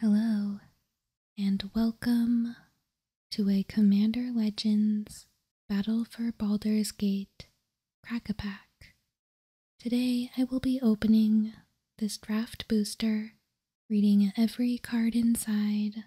Hello, and welcome to a Commander Legends Battle for Baldur's Gate Crack-a-Pack. Today I will be opening this draft booster, reading every card inside,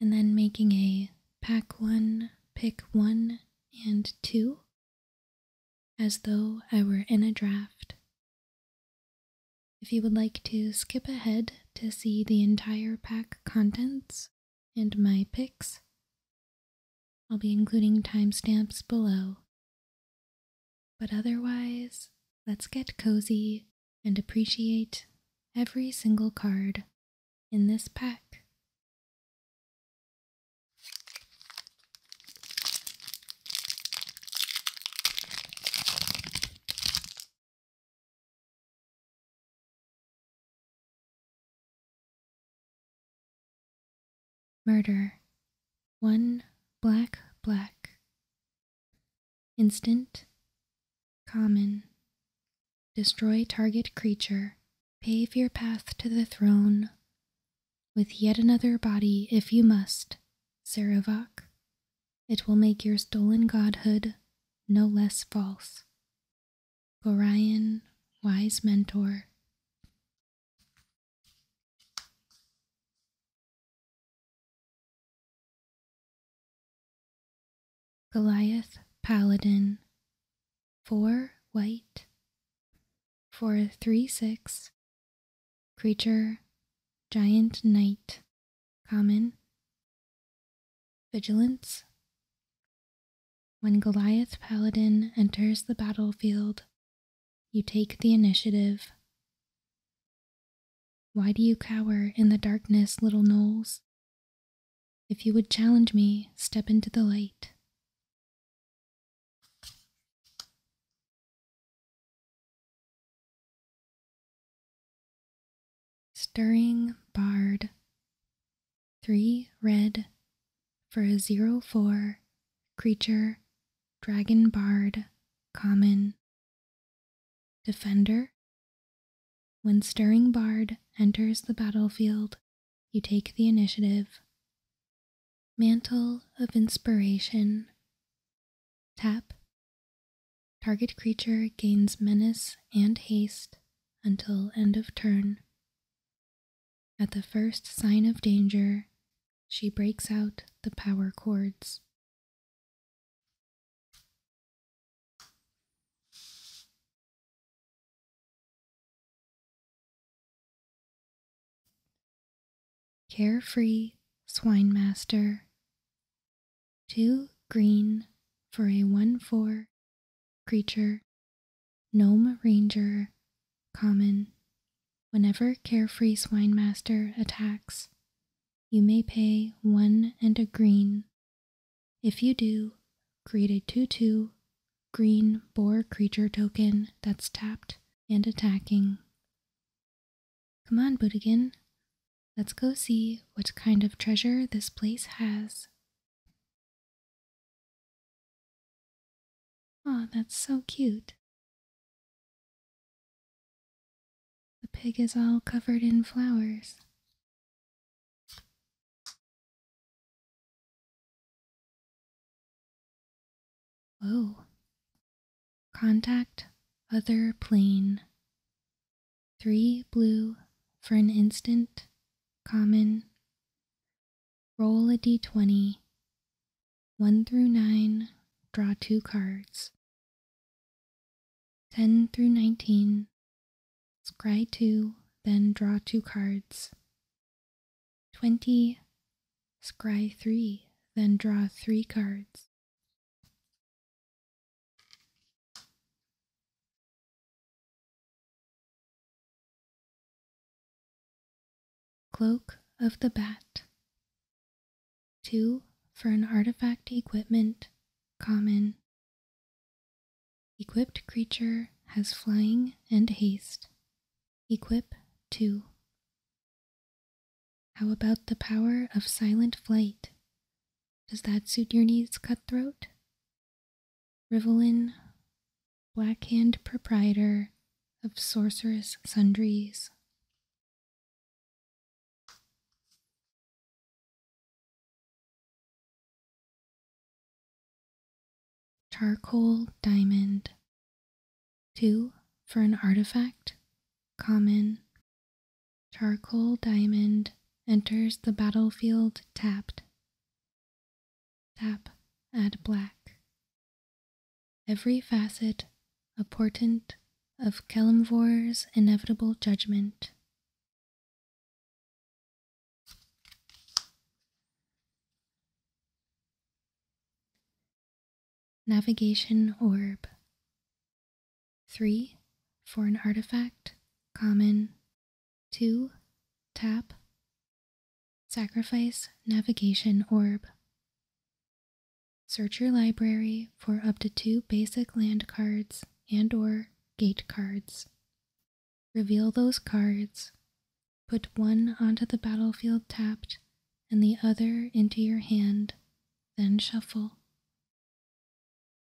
and then making a pack one, pick one, and two, as though I were in a draft. If you would like to skip ahead to see the entire pack contents and my picks, I'll be including timestamps below. But otherwise, let's get cozy and appreciate every single card in this pack. Murder. One black, black. Instant, common, destroy target creature, pave your path to the throne, with yet another body if you must, Saravak. It will make your stolen godhood no less false. Gorion, wise mentor. Goliath Paladin, 4 white, 4 3 6, creature, giant knight, common, vigilance. When Goliath Paladin enters the battlefield, you take the initiative. Why do you cower in the darkness, little Knowles? If you would challenge me, step into the light. Stirring Bard. Three red for a zero four creature, dragon bard, common. Defender When Stirring Bard enters the battlefield, you take the initiative. Mantle of Inspiration Tap Target creature gains menace and haste until end of turn. At the first sign of danger, she breaks out the power cords. Carefree swine master. Too green for a 1 4 creature. Gnome Ranger. Common. Whenever Carefree swine master attacks, you may pay one and a green. If you do, create a 2 2 green boar creature token that's tapped and attacking. Come on, Budigan. Let's go see what kind of treasure this place has. Oh, that's so cute. The pig is all covered in flowers. Whoa. Contact other plane. Three blue for an instant. Common. Roll a d20. 1 through 9. Draw two cards. 10 through 19. Scry 2, then draw 2 cards. 20. Scry 3, then draw 3 cards. Cloak of the Bat. 2. For an artifact equipment, common. Equipped creature has flying and haste. Equip 2. How about the power of silent flight? Does that suit your needs, cutthroat? black-hand proprietor of sorceress sundries, Charcoal diamond. 2. For an artifact, common. Charcoal diamond enters the battlefield tapped. Tap, add black. Every facet a portent of Calemvore's inevitable judgment. Navigation Orb 3. For an artifact, common. 2. Tap. Sacrifice Navigation Orb. Search your library for up to two basic land cards and or gate cards. Reveal those cards, put one onto the battlefield tapped and the other into your hand, then shuffle.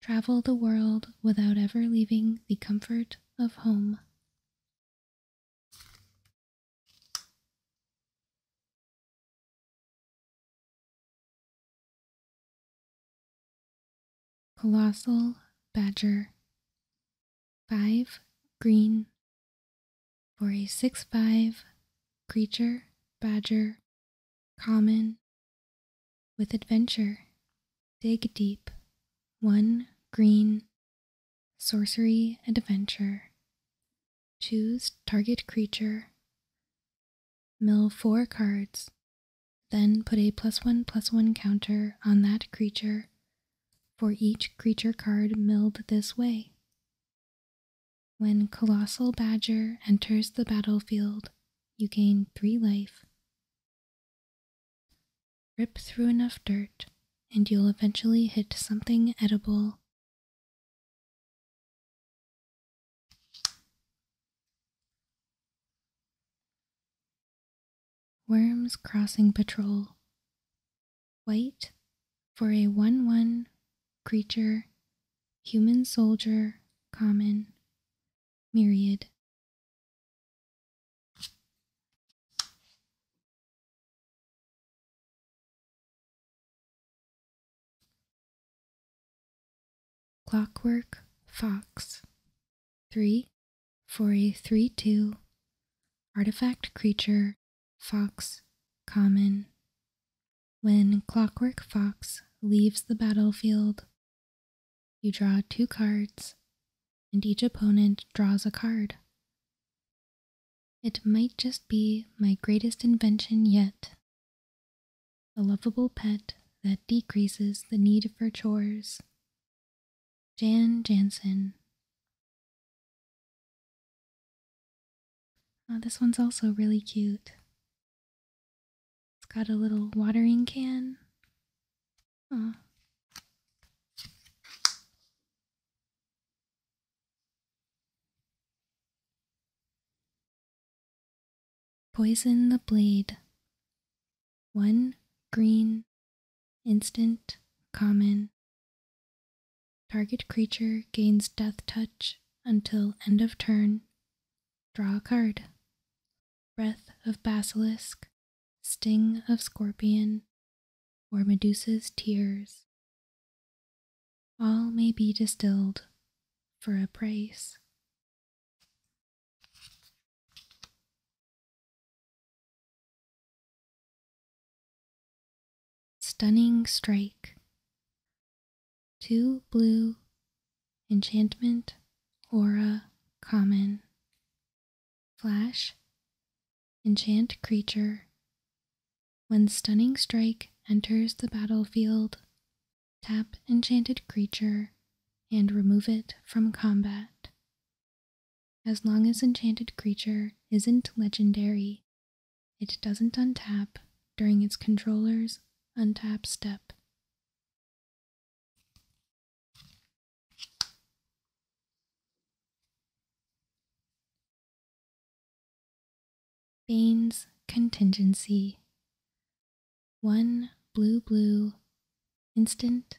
Travel the world without ever leaving the comfort of home. Colossal Badger 5 green for a 6-5 creature badger common with adventure dig deep 1 green sorcery adventure choose target creature Mill four cards, then put a plus one plus one counter on that creature for each creature card milled this way. When Colossal Badger enters the battlefield, you gain 3 life. Rip through enough dirt, and you'll eventually hit something edible Worms Crossing Patrol. White for a 1 1 creature, human soldier, common, myriad. Clockwork Fox 3 for 3 2 artifact creature Fox Common. When Clockwork Fox leaves the battlefield, you draw two cards, and each opponent draws a card. It might just be my greatest invention yet. A lovable pet that decreases the need for chores. Jan Jansen. Oh, this one's also really cute. It's got a little watering can. Poison the blade. One green, instant, common. Target creature gains death touch until end of turn. Draw a card. Breath of Basilisk, Sting of Scorpion, or Medusa's Tears all may be distilled for a price. Stunning Strike Two blue, enchantment, aura, common. Flash, enchant creature. When Stunning Strike enters the battlefield, Tap enchanted creature and remove it from combat. As long as enchanted creature isn't legendary, it doesn't untap during its controller's untap step. Bane's Contingency. One blue blue instant.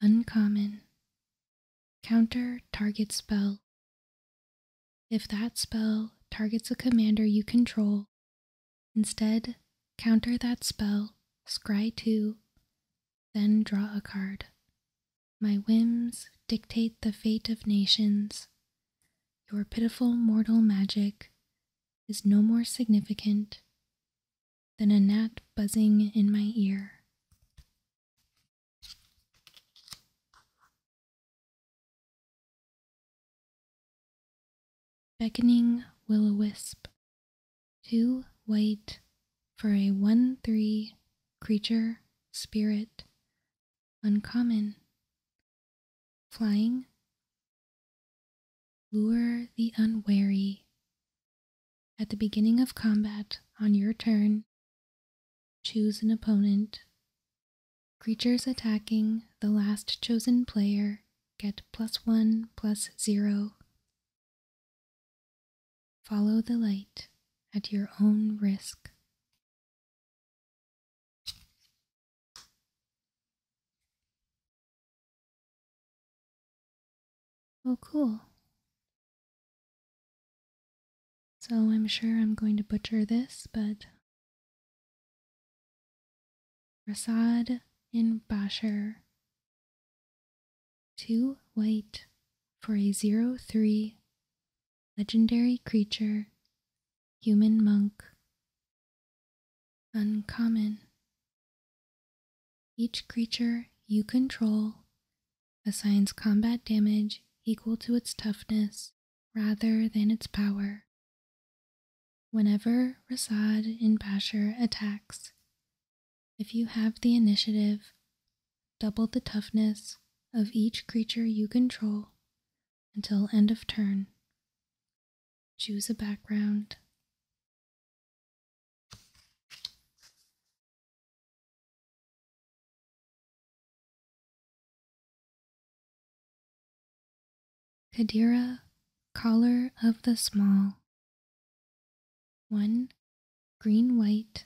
Uncommon. Counter target spell. If that spell targets a commander you control, instead counter that spell, scry two, then draw a card. My whims dictate the fate of nations your pitiful mortal magic is no more significant than a gnat buzzing in my ear. Beckoning will o wisp, too white for a 1 3 creature spirit uncommon. Flying, lure the unwary. At the beginning of combat, on your turn, choose an opponent. Creatures attacking the last chosen player get plus one plus zero. Follow the light at your own risk. Oh, cool. So I'm sure I'm going to butcher this, but Rasad in Bashir, Two white for a zero three legendary creature, human monk, uncommon. Each creature you control assigns combat damage equal to its toughness rather than its power. Whenever Rasad in Bashir attacks, if you have the initiative, double the toughness of each creature you control until end of turn. Choose a background. Kadira, Collar of the Small. 1. Green White,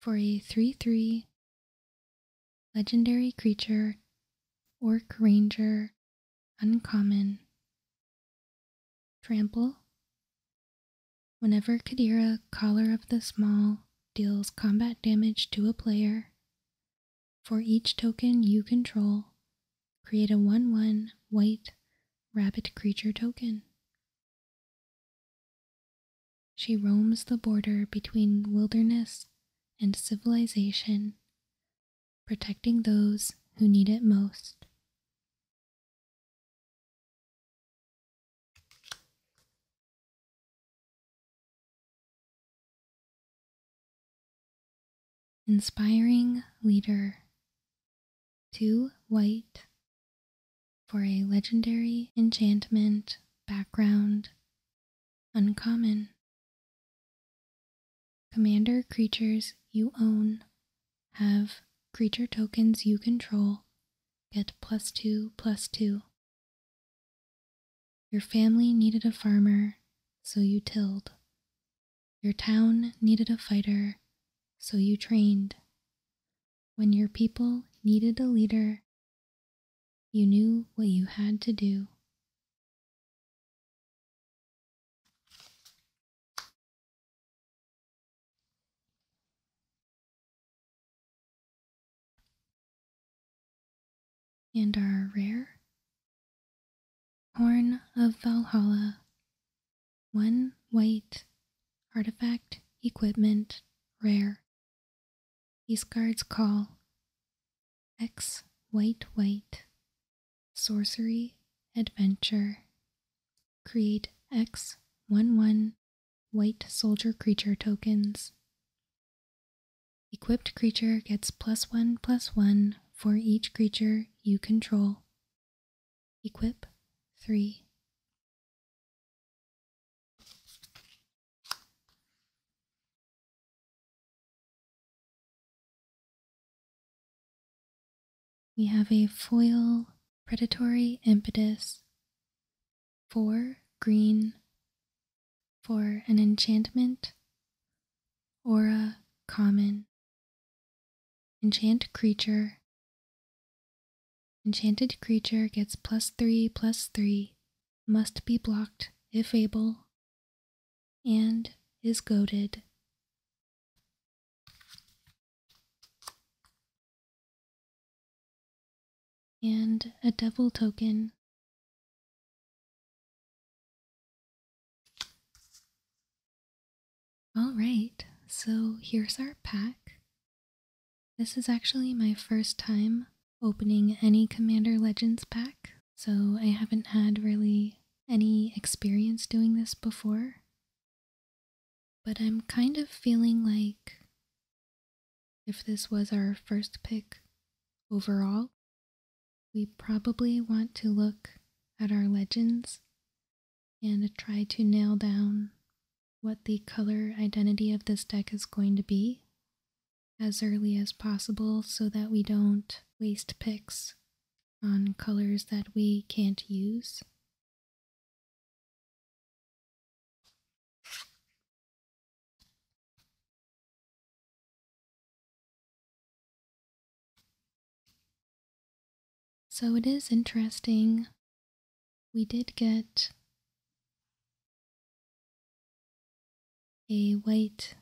for a 3 3 legendary creature, orc ranger, uncommon. Trample. Whenever Kadira, Caller of the Small, deals combat damage to a player, for each token you control, create a 1 1 white rabbit creature token. She roams the border between wilderness and civilization, protecting those who need it most. Inspiring Leader too White for a legendary enchantment background uncommon. Commander creatures you own have creature tokens you control get plus two plus two. Your family needed a farmer, so you tilled. Your town needed a fighter, so you trained. When your people needed a leader, you knew what you had to do. and are rare. Horn of Valhalla, one white artifact equipment rare. These cards call X, White, White, Sorcery, Adventure. Create X, 1 1 White Soldier Creature tokens. Equipped creature gets plus 1 plus 1 for each creature you control. Equip 3 we have a foil predatory impetus, four green for an enchantment, aura common, enchant creature, Enchanted creature gets plus 3 plus 3, must be blocked if able, and is goaded. And a devil token. Alright, so here's our pack. This is actually my first time opening any Commander Legends pack, so I haven't had really any experience doing this before. But I'm kind of feeling like if this was our first pick overall, we probably want to look at our legends and try to nail down what the color identity of this deck is going to be as early as possible so that we don't waste picks on colors that we can't use. So it is interesting we did get a white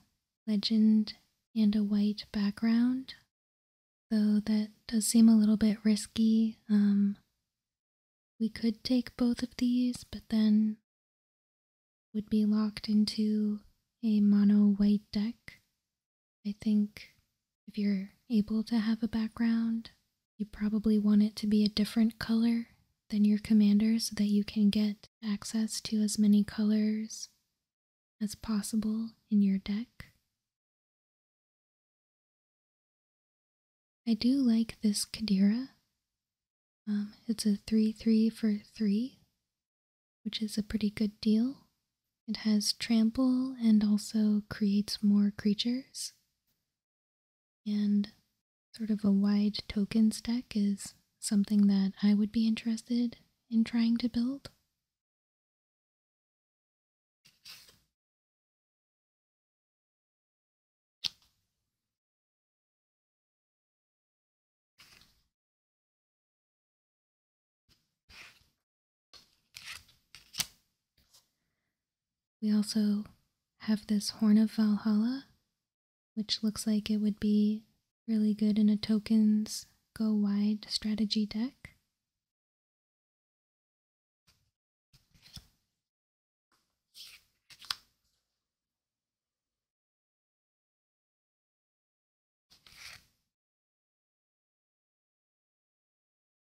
legend and a white background, though that does seem a little bit risky. Um, we could take both of these, but then would be locked into a mono white deck. I think if you're able to have a background, you probably want it to be a different color than your commander so that you can get access to as many colors as possible in your deck. I do like this Kadirah. Um, it's a 3-3 for 3, which is a pretty good deal. It has trample and also creates more creatures. And sort of a wide token stack is something that I would be interested in trying to build. We also have this Horn of Valhalla, which looks like it would be really good in a tokens go wide strategy deck.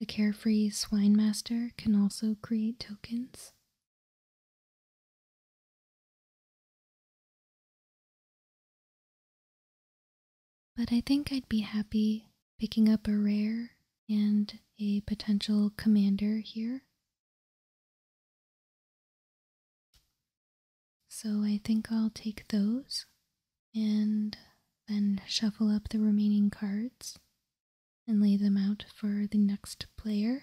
The carefree swine master can also create tokens. But I think I'd be happy picking up a rare and a potential commander here. So I think I'll take those and then shuffle up the remaining cards and lay them out for the next player.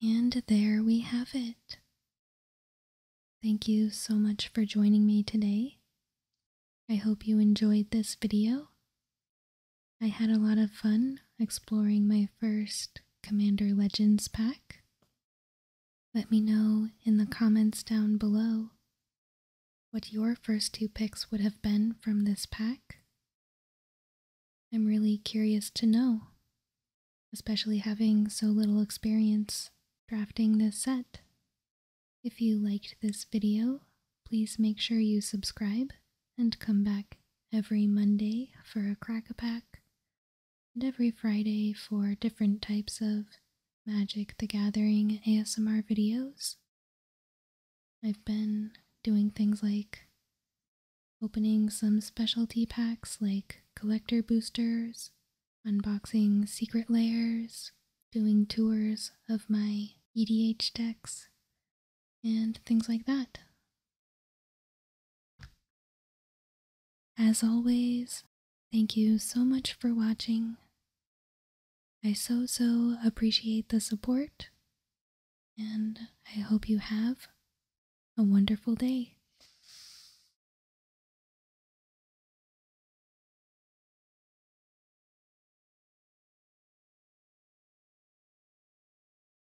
And there we have it. Thank you so much for joining me today. I hope you enjoyed this video. I had a lot of fun exploring my first Commander Legends pack? Let me know in the comments down below what your first two picks would have been from this pack. I'm really curious to know, especially having so little experience drafting this set. If you liked this video, please make sure you subscribe and come back every Monday for a crack pack, and every Friday for different types of Magic the Gathering ASMR videos. I've been doing things like opening some specialty packs like collector boosters, unboxing secret layers, doing tours of my EDH decks, and things like that. As always, thank you so much for watching. I so, so appreciate the support, and I hope you have a wonderful day.